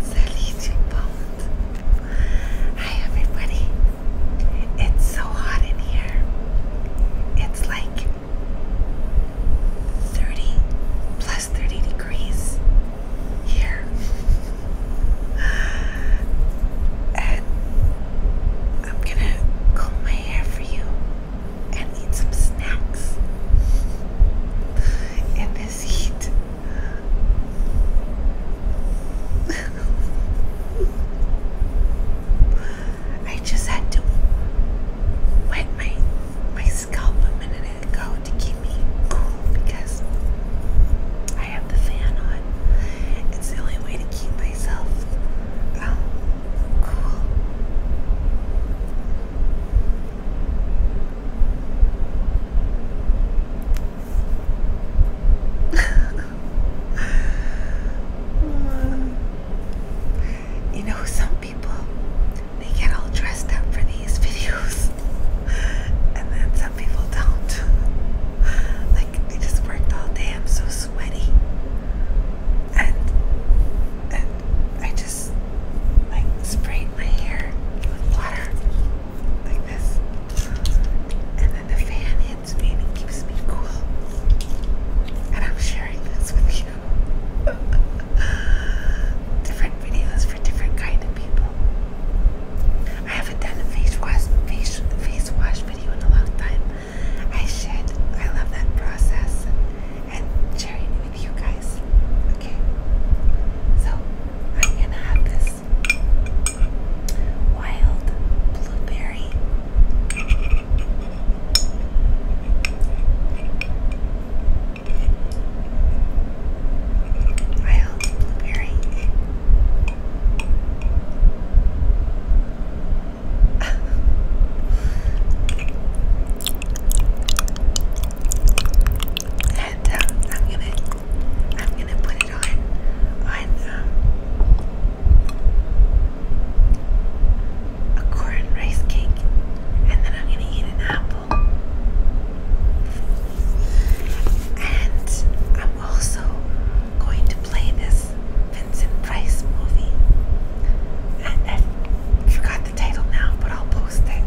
Salut tout Hi everybody. It's so hot in here. It's like 30 plus 30 degrees here. and I'm gonna comb my hair for you and eat some snacks in this heat. I just had to wet my my scalp a minute ago to keep me cool because I have the fan on. It's the only way to keep myself um, cool you know, some people they get all dressed up for these videos, and then some people don't. like, I just worked all day, I'm so sweaty, and, and I just like sprayed my hair with water like this, and then the fan hits me and it keeps me cool. And I'm sharing this with you. different videos for different kind of people. I haven't done a face wash face face wash video in a long time. I should. I love that process and sharing it you guys. Okay, so I'm gonna have this wild blueberry. Wild blueberry. and um, I'm gonna I'm gonna put it on on um, a corn rice cake, and then I'm gonna eat an apple. And I'm also going to play this Vincent Price movie. And I forgot the title now, but I'll post it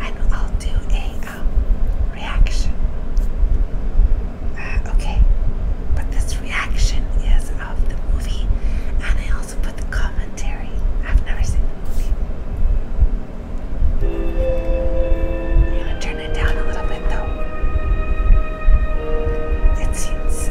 and I'll do a um, reaction. Uh, okay, but this reaction is of the movie, and I also put the commentary. I've never seen the movie. I'm to turn it down a little bit though. It seems.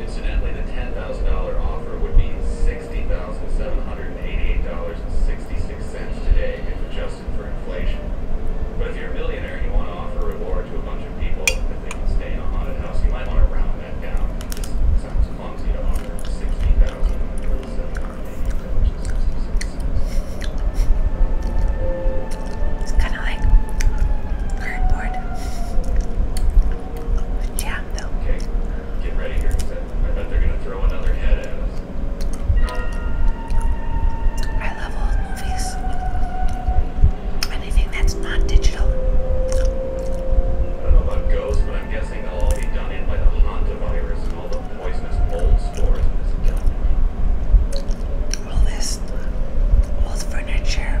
Incidentally, the $10,000 offer would be $60,788.66 today if adjusted for inflation. But if you're a millionaire and you want to offer a reward to a bunch of people that they can stay in a haunted house, you might want to round that down. It just sounds clumsy to offer $60,788.66. It's kind of like cardboard. With though. I love old movies. Anything that's not digital. I don't know about ghosts, but I'm guessing they'll all be done in by the hantavirus and all the poisonous mold spores All this old furniture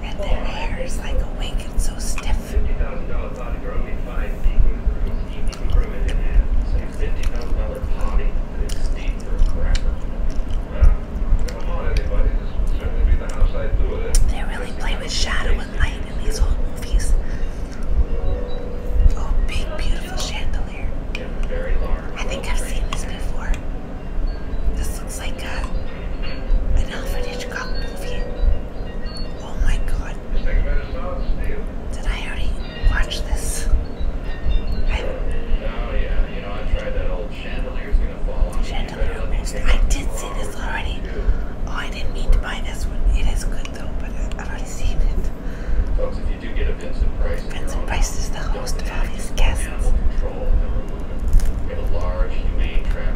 and their hair is like awake and so stiff. $50,000 body $50,000 potty and Steve for cracker. They really play with shadow and light in these old movies. Oh, big, beautiful chandelier. I think I've seen this before. This looks like a an Alfred Hitchcock movie. Oh my god. Did I already watch this? oh yeah, you know, I tried that old chandelier's gonna fall Chandelier I did see this already. Oh, I didn't mean to buy this one. It is good though, but I've already seen it. Folks, if Price, is the host of all these guests.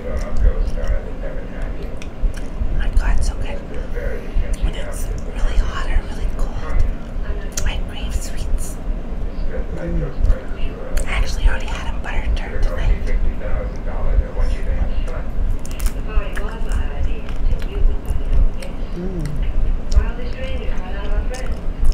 Oh my god, so good. When it's really hot or really cold, I crave sweets. I actually already had a butter tart tonight. Mm.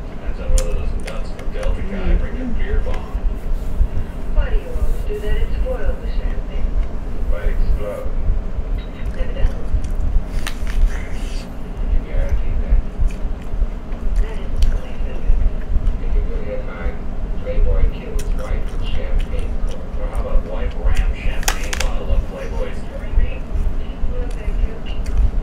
Depends on whether those mm-hmm. bring their beer bomb. Why do you always do that? It spoils the champagne. Why explode? Evidently. You guarantee that? That isn't you're good at mine, Playboy killed his champagne how about wife ram champagne bottle of Playboy's? No, thank you.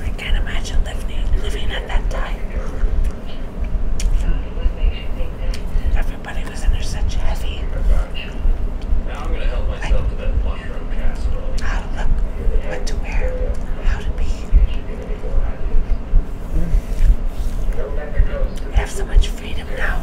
I can't imagine living living at that time. Everybody was under such heavy. How to look, what to wear, how to be. Mm. have so much freedom now.